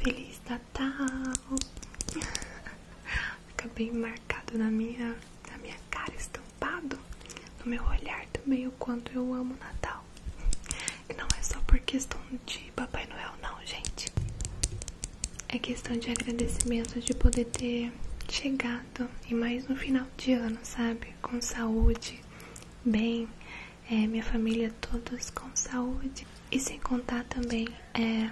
Feliz Natal! Fica bem marcado na minha na minha cara estampado, no meu olhar também o quanto eu amo Natal. E não é só por questão de Papai Noel não, gente. É questão de agradecimento de poder ter chegado e mais no final de ano, sabe? Com saúde, bem, é, minha família todos com saúde. E sem contar também é,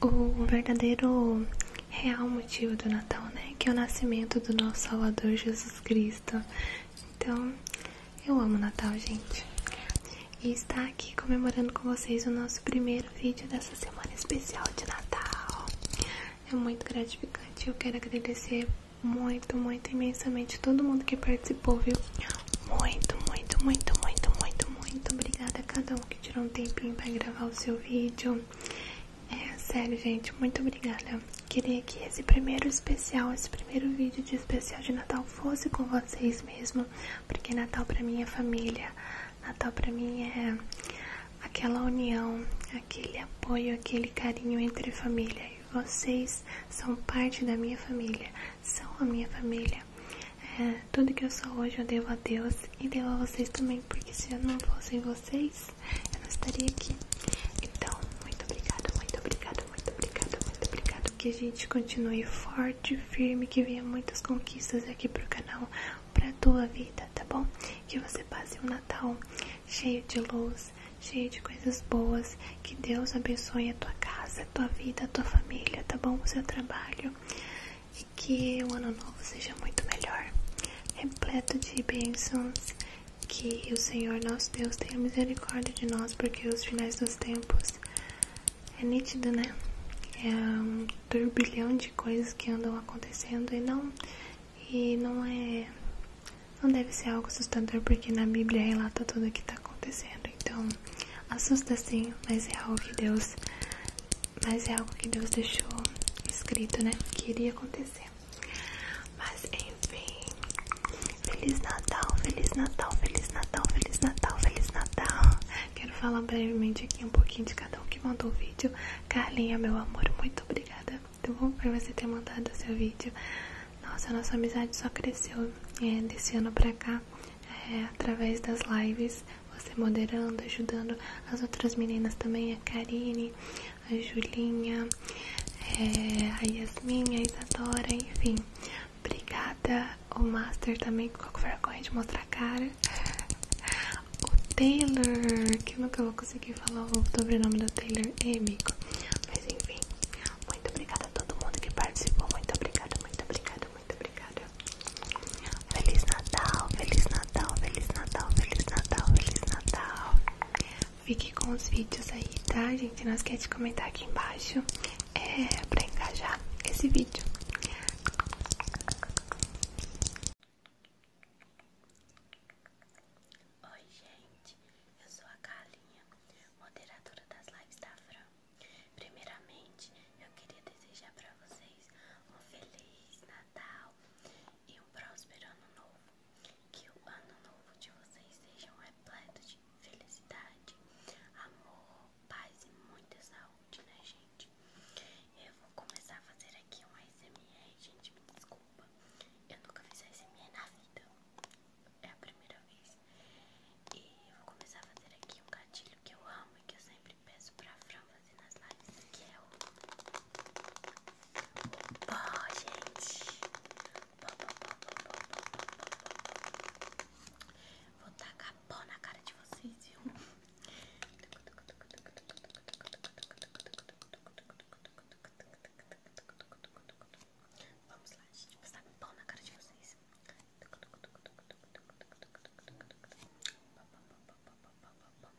o verdadeiro real motivo do Natal, né? Que é o nascimento do nosso Salvador Jesus Cristo. Então, eu amo Natal, gente. E está aqui comemorando com vocês o nosso primeiro vídeo dessa semana especial de Natal. É muito gratificante. Eu quero agradecer muito, muito imensamente todo mundo que participou, viu? Muito, muito, muito, muito, muito, muito obrigada a cada um que tirou um tempinho para gravar o seu vídeo. É, sério, gente, muito obrigada. Queria que esse primeiro especial, esse primeiro vídeo de especial de Natal fosse com vocês mesmo, porque Natal pra mim é família, Natal pra mim é aquela união, aquele apoio, aquele carinho entre família. E vocês são parte da minha família, são a minha família. É, tudo que eu sou hoje eu devo a Deus e devo a vocês também, porque se eu não fossem vocês, eu não estaria aqui. Então, muito obrigada, muito obrigada, muito obrigada, muito obrigada. Que a gente continue forte, firme, que venha muitas conquistas aqui pro canal, pra tua vida, tá bom? Que você passe um Natal cheio de luz, cheio de coisas boas. Que Deus abençoe a tua casa, a tua vida, a tua família, tá bom? O seu trabalho. E que o ano novo seja muito melhor, repleto de bênçãos que o Senhor nosso Deus tenha misericórdia de nós, porque os finais dos tempos é nítido, né? É um turbilhão de coisas que andam acontecendo e não e não é não deve ser algo assustador, porque na Bíblia relata tudo o que está acontecendo. Então, assusta sim, mas é algo que Deus mas é algo que Deus deixou escrito, né? Que iria acontecer. Mas enfim, Feliz Natal, Feliz Natal, Feliz Natal, Feliz Natal, Feliz Natal. Quero falar brevemente aqui um pouquinho de cada um que mandou o vídeo. Carlinha, meu amor, muito obrigada. Muito tá bom por você ter mandado o seu vídeo. Nossa, nossa amizade só cresceu é, desse ano pra cá é, através das lives. Você moderando, ajudando as outras meninas também, a Karine a Julinha, é, a Yasmin, a Isadora, enfim. Obrigada, o Master também que ficou com vergonha de mostrar a cara. O Taylor, que eu nunca vou conseguir falar o sobrenome do Taylor, é amigo. Mas enfim, muito obrigada a todo mundo que participou. Muito obrigada, muito obrigada, muito obrigada. Feliz Natal, Feliz Natal, Feliz Natal, Feliz Natal, Feliz Natal. Fique com os vídeos aí, tá, gente? Não esquece de comentar aqui embaixo é, pra engajar esse vídeo. Oi, gente. Eu sou a Kalinha, moderadora das lives da Fran. Primeiramente, eu queria desejar pra vocês um Feliz Natal e um próspero ano novo. Que o ano novo de vocês seja um repleto de felicidade, amor, paz e muita saúde, né, gente? Eu vou começar a fazer aqui um ASMR, gente, me desculpa. Eu nunca fiz ASMR na vida, é a primeira vez. E eu vou começar a fazer aqui um gatilho que eu amo e que eu sempre peço pra Fran fazer nas lives, que é o Pô gente. Vou tacar pó na cara de vocês, viu? Vamos lá, gente. Vou passar pó na cara de vocês. Bom, bom, bom, bom, bom, bom, bom, bom, bom.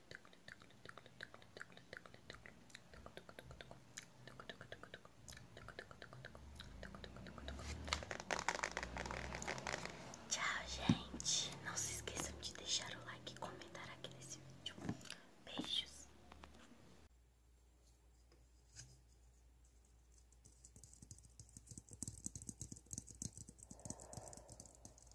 Tchau, gente. Não se esqueçam de deixar o like e comentar aqui nesse vídeo. Beijos.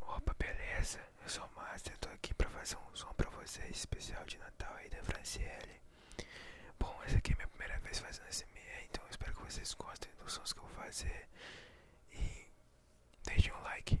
Opa, beleza? Eu sou o Master, estou aqui para fazer um som para vocês, especial de Natal aí da Franciele. Bom, essa aqui é minha primeira vez fazendo SMR, então espero que vocês gostem dos sons que eu vou fazer. E deixem um like.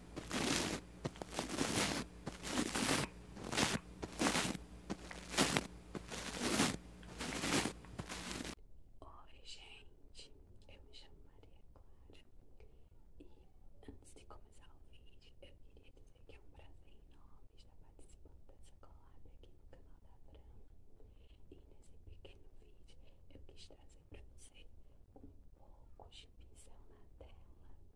Oi, gente, eu me chamo Maria Clara e antes de começar o vídeo, eu queria dizer que é um prazer enorme estar participando dessa collab aqui no canal da Brama. E nesse pequeno vídeo eu quis trazer trazer para um pouco de pincel na tela,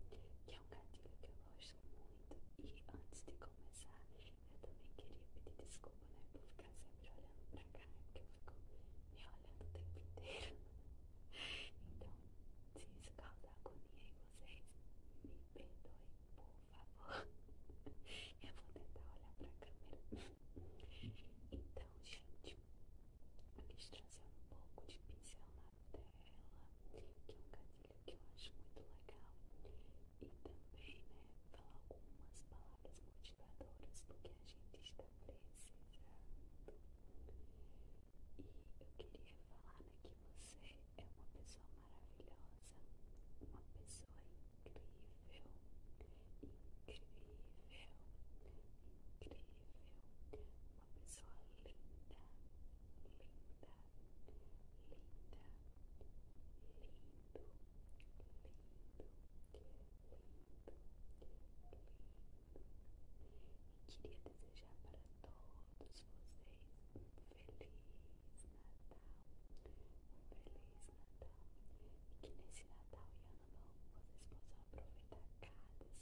que é um gatilho que eu gosto muito. E antes de começar, eu também queria pedir desculpa, né, por ficar sempre olhando para cá, né, porque eu fico me olhando o tempo inteiro. Então, se isso causar agonia em vocês, me perdoem, por favor. Eu vou tentar olhar para a câmera. Então, gente, quis trazer um pouco de pincel na tela, que é um gatilho que eu acho muito legal. E também, né, falar algumas palavras motivadoras do que a gente está precisando. E eu queria falar né, que você é uma pessoa maravilhosa, uma pessoa incrível, incrível, incrível, uma pessoa linda, linda, linda, lindo, lindo, lindo, lindo. E queria desejar para todos vocês um feliz Natal, um feliz Natal. E que nesse Natal e Ano Novo vocês possam aproveitar cada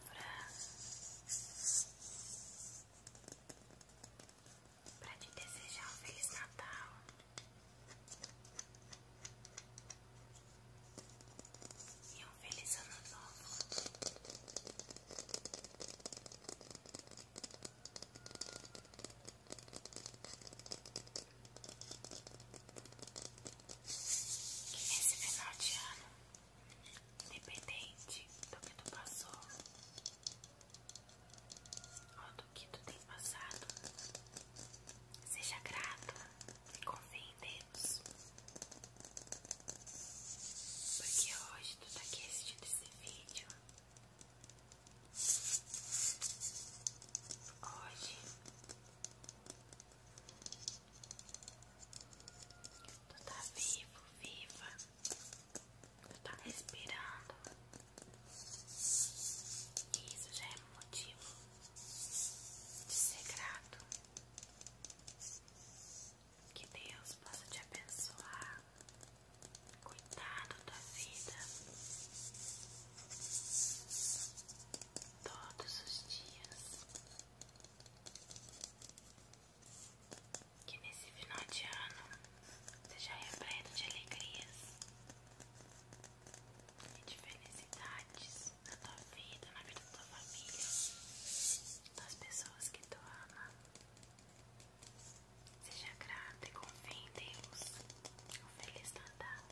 pra, te desejar um Feliz Natal. E um feliz ano novo. Que nesse final de ano Independente do que tu passou ou do que tu tem passado, seja grata, e confie em Deus. Porque hoje tu tá aqui assistindo esse vídeo. Hoje Tu tá vivo, viva. Tu tá respirando. isso já é motivo de segredo. Que Deus possa te abençoar. Cuidado da vida todos os dias que nesse final de ano seja repleto de alegrias e de felicidades na tua vida, na vida da tua família, das pessoas que tu ama. Seja grata e confie em Deus. Um feliz Natal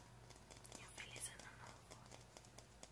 e um feliz Ano Novo.